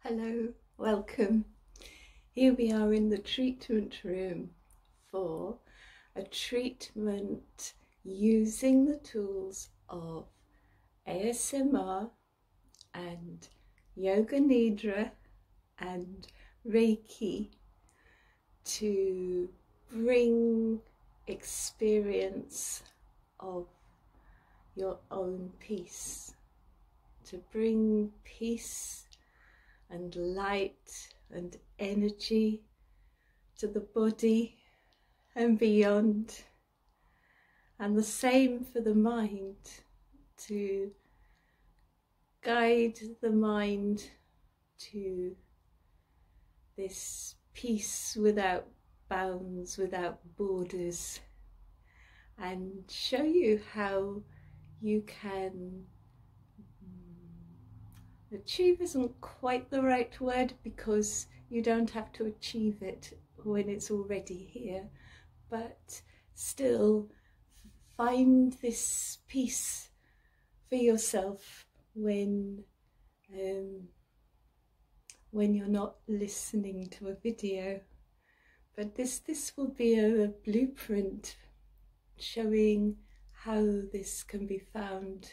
Hello, welcome. Here we are in the treatment room for a treatment using the tools of ASMR and Yoga Nidra and Reiki to bring experience of your own peace, to bring peace and light and energy to the body and beyond. And the same for the mind, to guide the mind to this peace without bounds, without borders, and show you how you can. Hmm, achieve isn't quite the right word because you don't have to achieve it when it's already here, but still find this peace for yourself when um, when you're not listening to a video. But this, this will be a, a blueprint showing how this can be found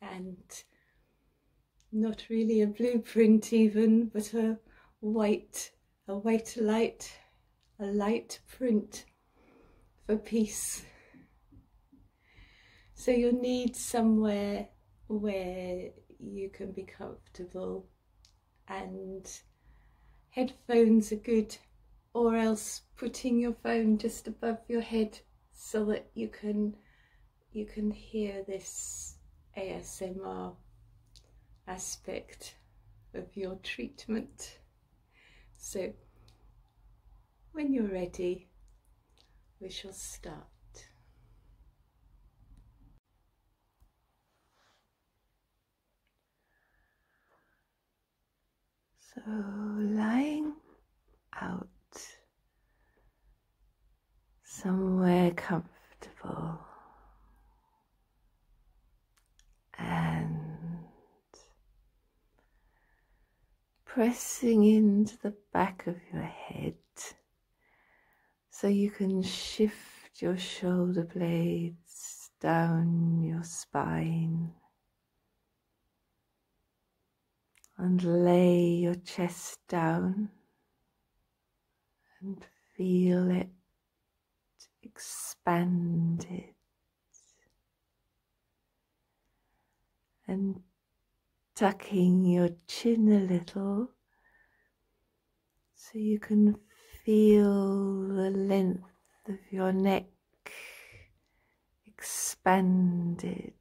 and not really a blueprint even, but a white, a white light, a light print for peace. So you'll need somewhere where you can be comfortable and headphones are good or else putting your phone just above your head so that you can you can hear this ASMR aspect of your treatment. So when you're ready we shall start. So lying out somewhere comfortable and pressing into the back of your head so you can shift your shoulder blades down your spine and lay your chest down and feel it expand it and tucking your chin a little so you can feel the length of your neck expanded.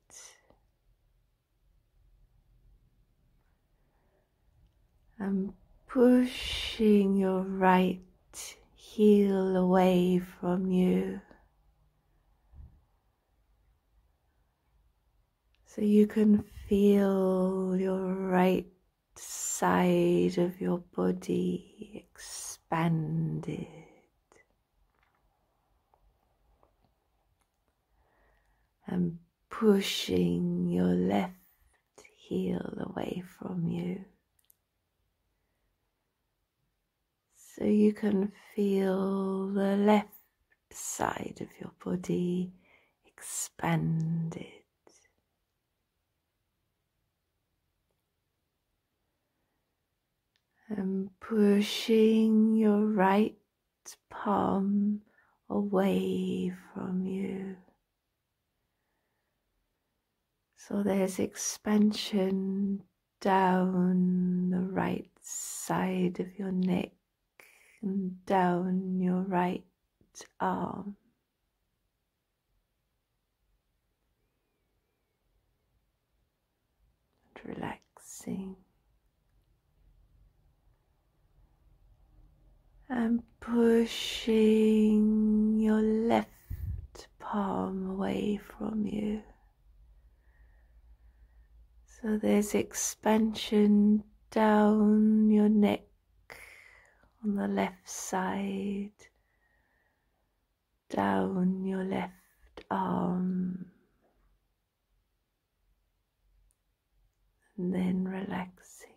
And pushing your right heel away from you. So you can feel your right side of your body expanded. And pushing your left heel away from you. So you can feel the left side of your body expanded. And pushing your right palm away from you. So there's expansion down the right side of your neck and down your right arm. And relaxing and pushing your left palm away from you. So there's expansion down your neck on the left side, down your left arm, and then relaxing.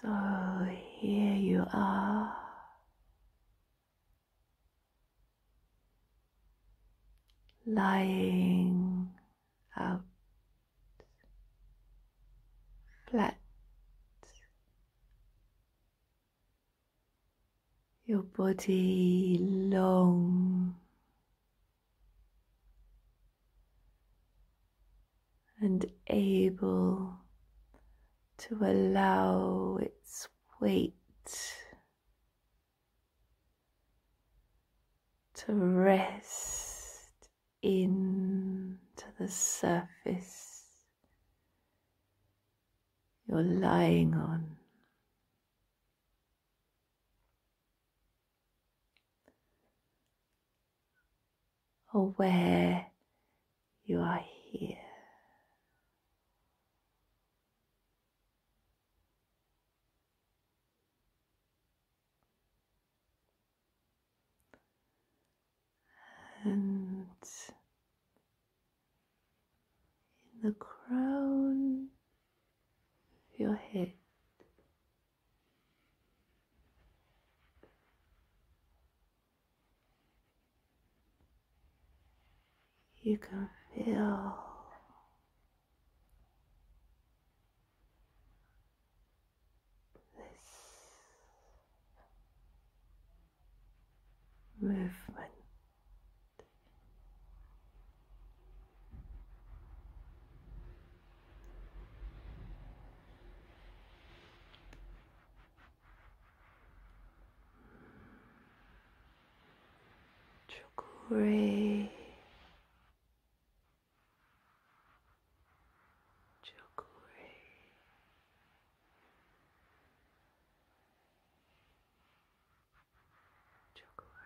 So here you are lying out flat. Your body long and able to allow its weight to rest into the surface you're lying on aware you are here. And in the crown of your head, you can feel this movement. Chukure. Chukure. Chukure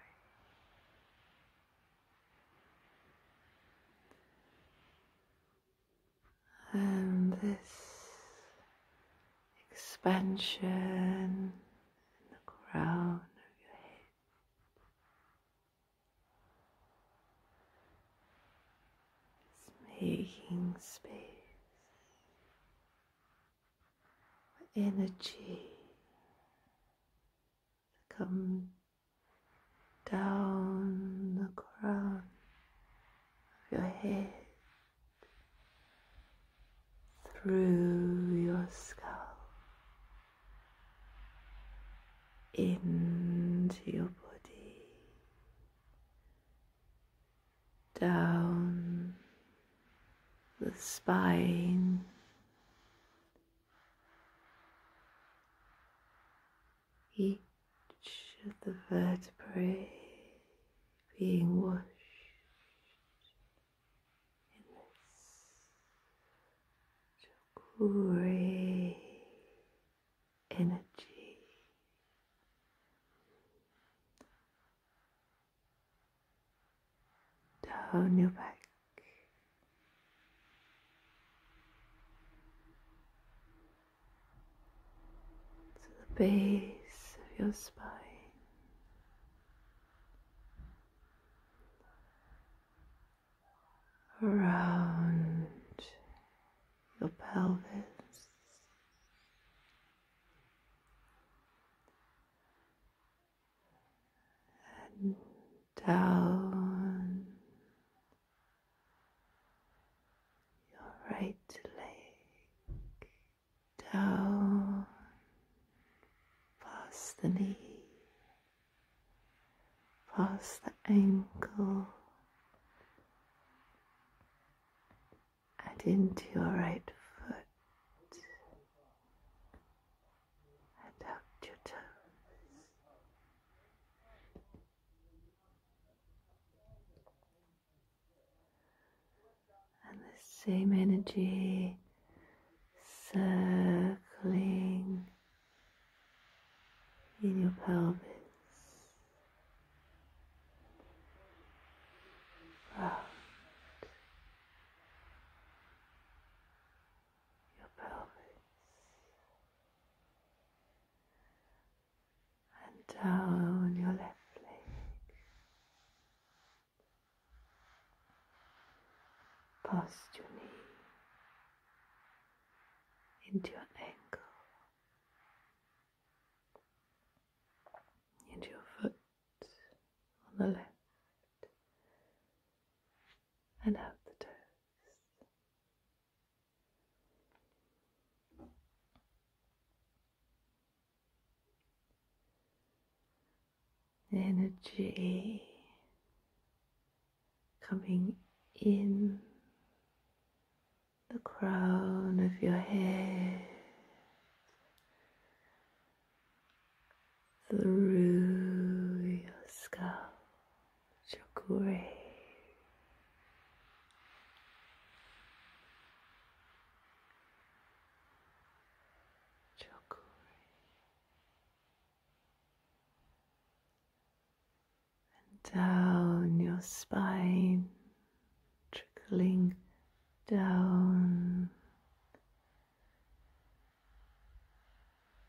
and this expansion in the crown of your head. is making space for energy to come down the crown of your head through your skull into your body down the spine each of the vertebrae being washed in this chakuri energy. Down new back to the base of your spine. Around your pelvis, and down your right leg down past the knee, past the ankle, and into your right foot and out your toes and the same energy circling in your pelvis. Round your pelvis, and down your left leg, past your knee, into your ankle, into your foot on the left. And out the toes, energy coming in the crown of your head through your skull your grave. And down your spine, trickling down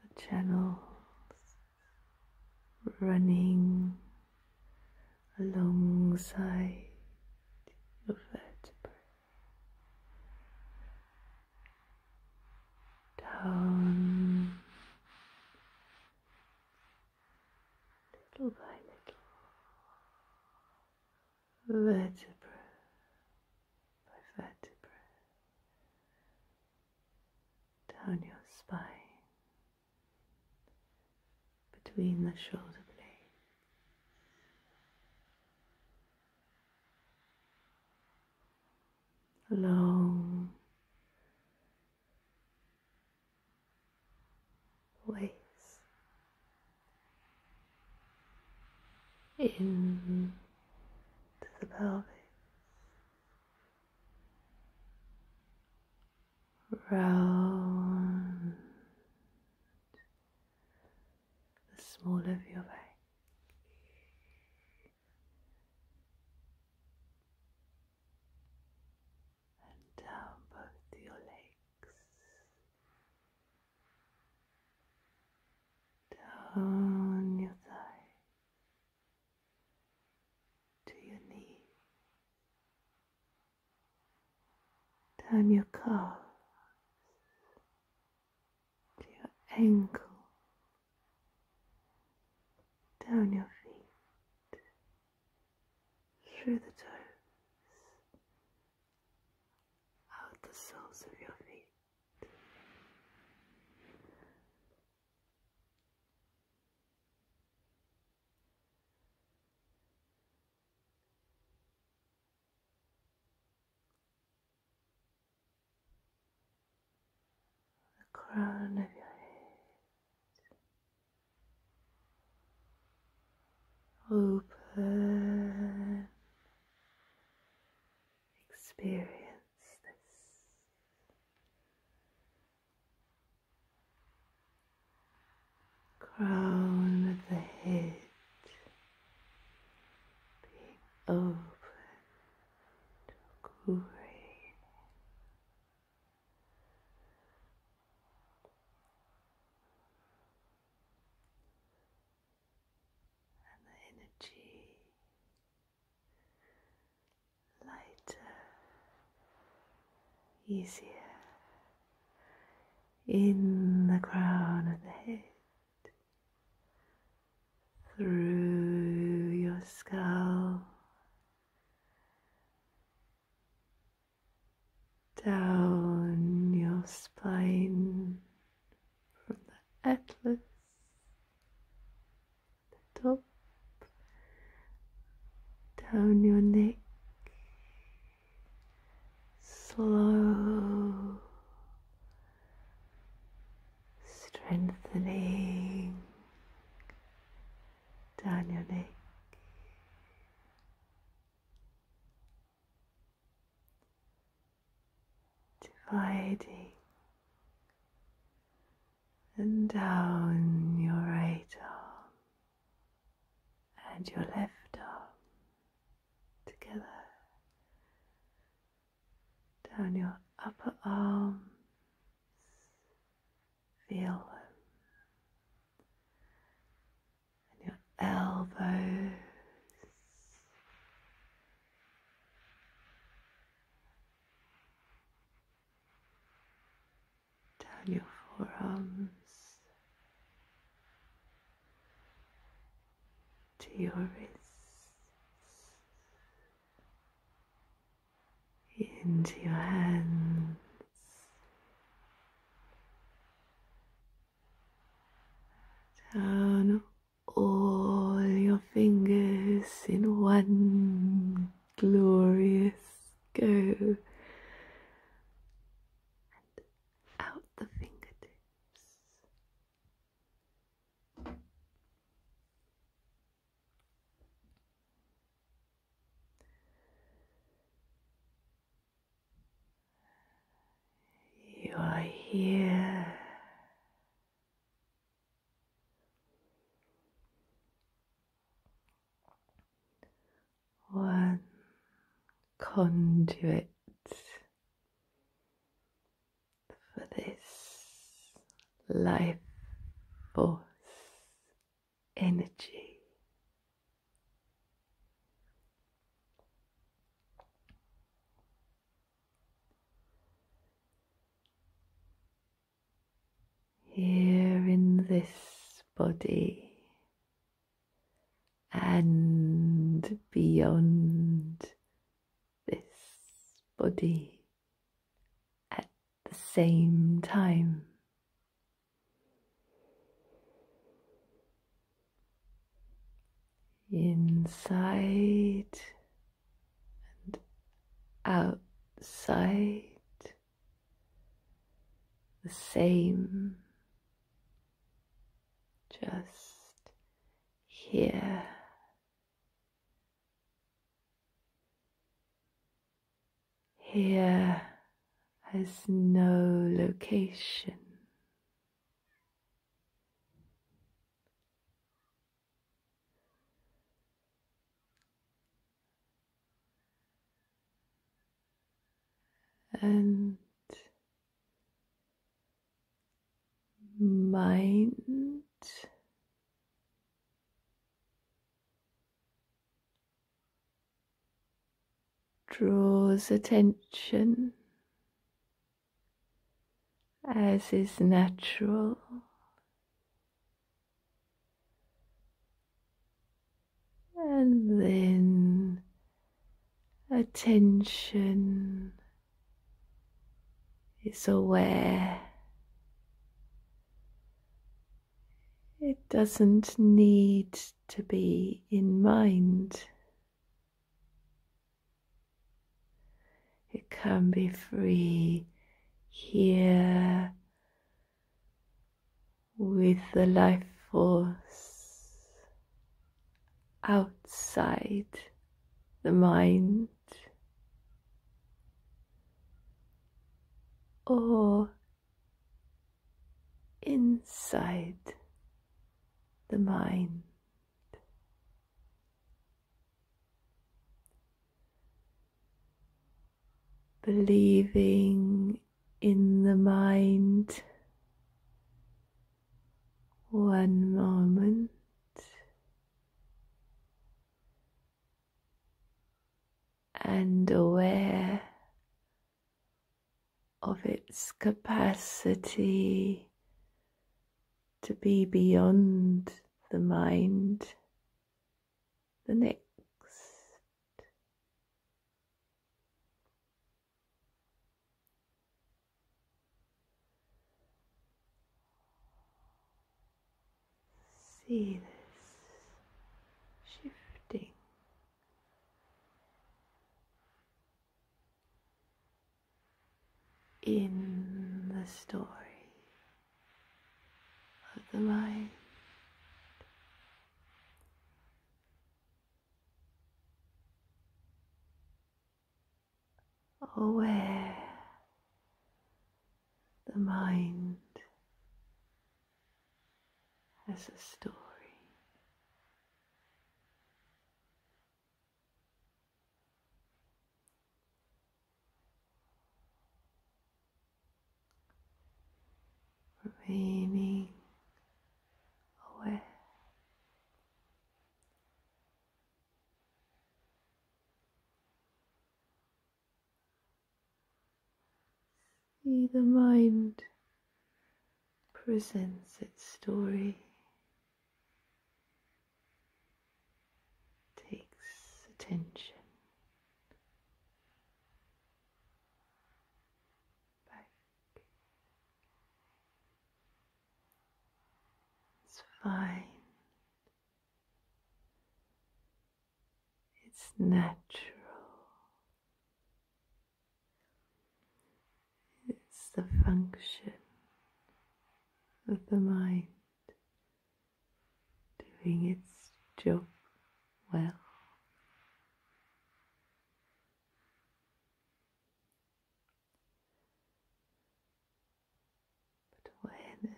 the channels running alongside your vertebrae down little by little vertebra by vertebra down your spine, between the shoulder blades. Long ways in to the pelvis round the small of your back. And down both your legs, down your thigh to your knee, down your calf, to your ankle, down your feet, through the toes, out the soles of your feet, the crown of your head, open experience. Crown of the head being open to And the energy lighter, easier in the crown of the head, through your skull, down your spine from the atlas, the top, down your neck, slow, strengthening down your neck dividing and down your right arm and your left arm together, down your upper arms, feel them, and your elbows down your forearms to your wrists, into your hands. Down all your fingers in one glorious go. And out the fingertips. You are here one conduit for this life force energy. Here in this body and beyond this body at the same time inside and outside the same just here. Here has no location, and mind draws attention as is natural. And then attention is aware. It doesn't need to be in mind. It can be free here with the life force outside the mind or inside the mind believing in the mind one moment. And aware of its capacity to be beyond the mind, the next. See this shifting in the story of the mind. Aware the mind as a story remaining aware. See the mind presents its story takes attention back. It's fine. It's natural. It's the function of the mind doing its job well. But awareness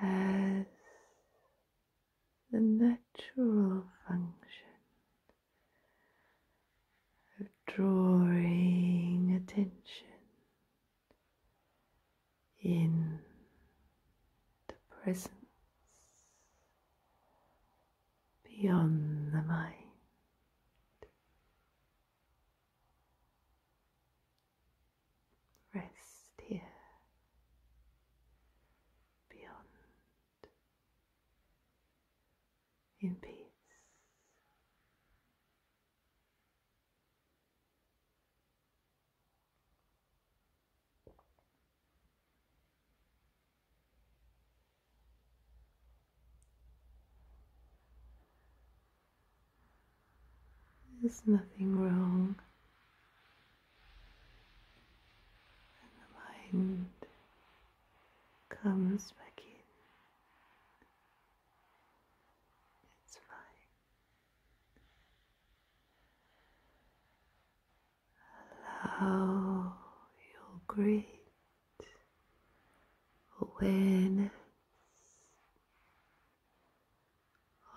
has the natural function of drawing attention in the presence beyond the mind. Rest here beyond in peace. There's nothing wrong and the mind comes back in. It's fine. Allow your great awareness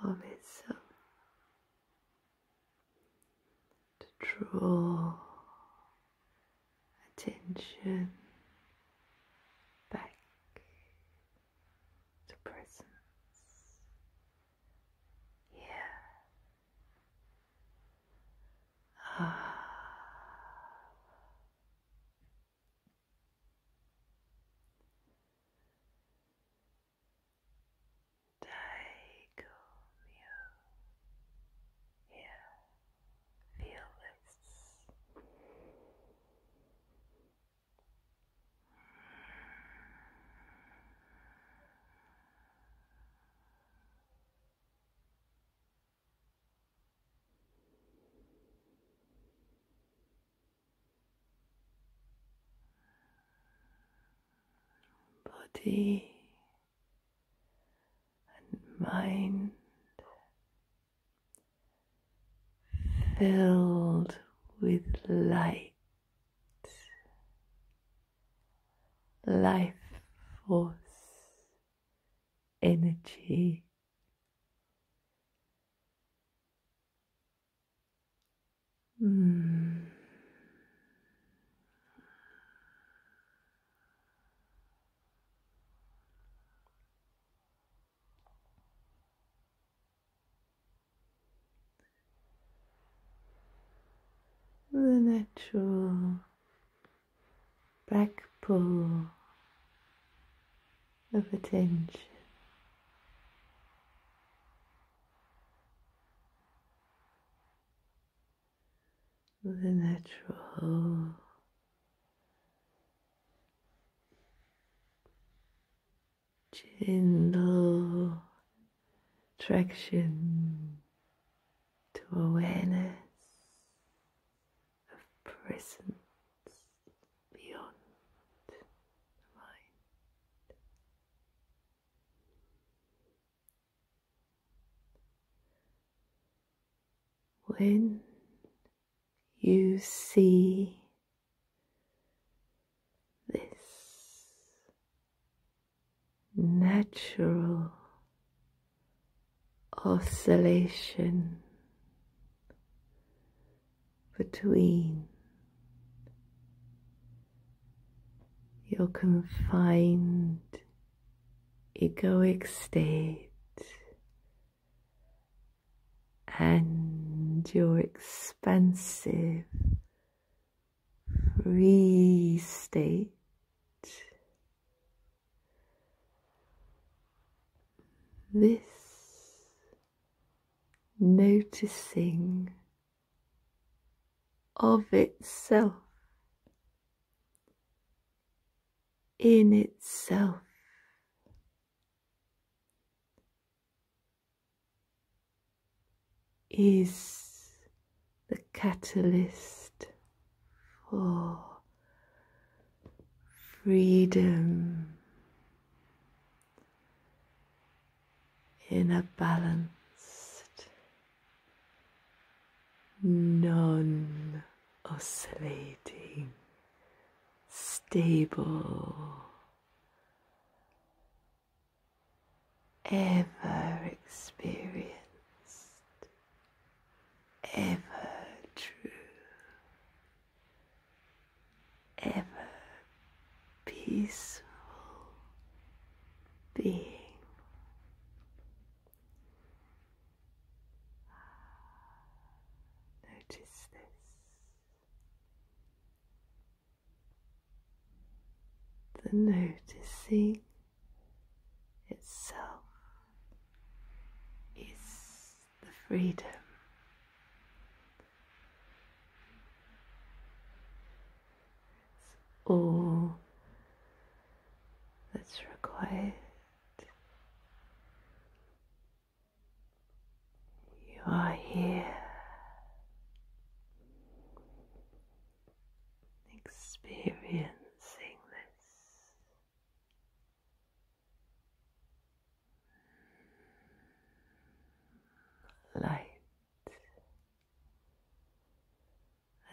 of itself to draw attention back to presence here. Ah. Daigomyo. Yeah, feel this. Mm. Feel body and mind filled with light, life force, energy. Hmm. The natural back pull of attention the natural gentle traction to awareness of presence beyond mind. When you see this natural oscillation between your confined egoic state and your expansive free state. This noticing of itself, in itself. Is the catalyst for freedom in a balanced, non oscillating, stable, ever experienced, ever true ever peaceful being. Notice this. The noticing itself is the freedom it's all that's required. You are here. Experiencing this light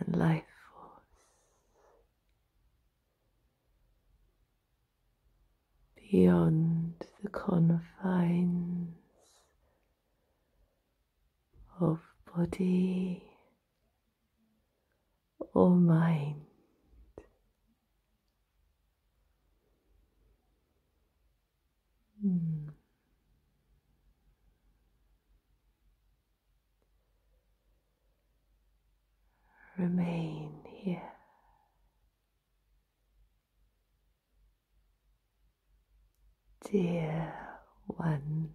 and life force beyond the confines of body or mind. Hmm. Remain here. Dear one.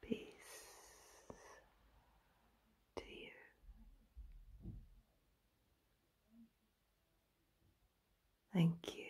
Peace to you. Thank you.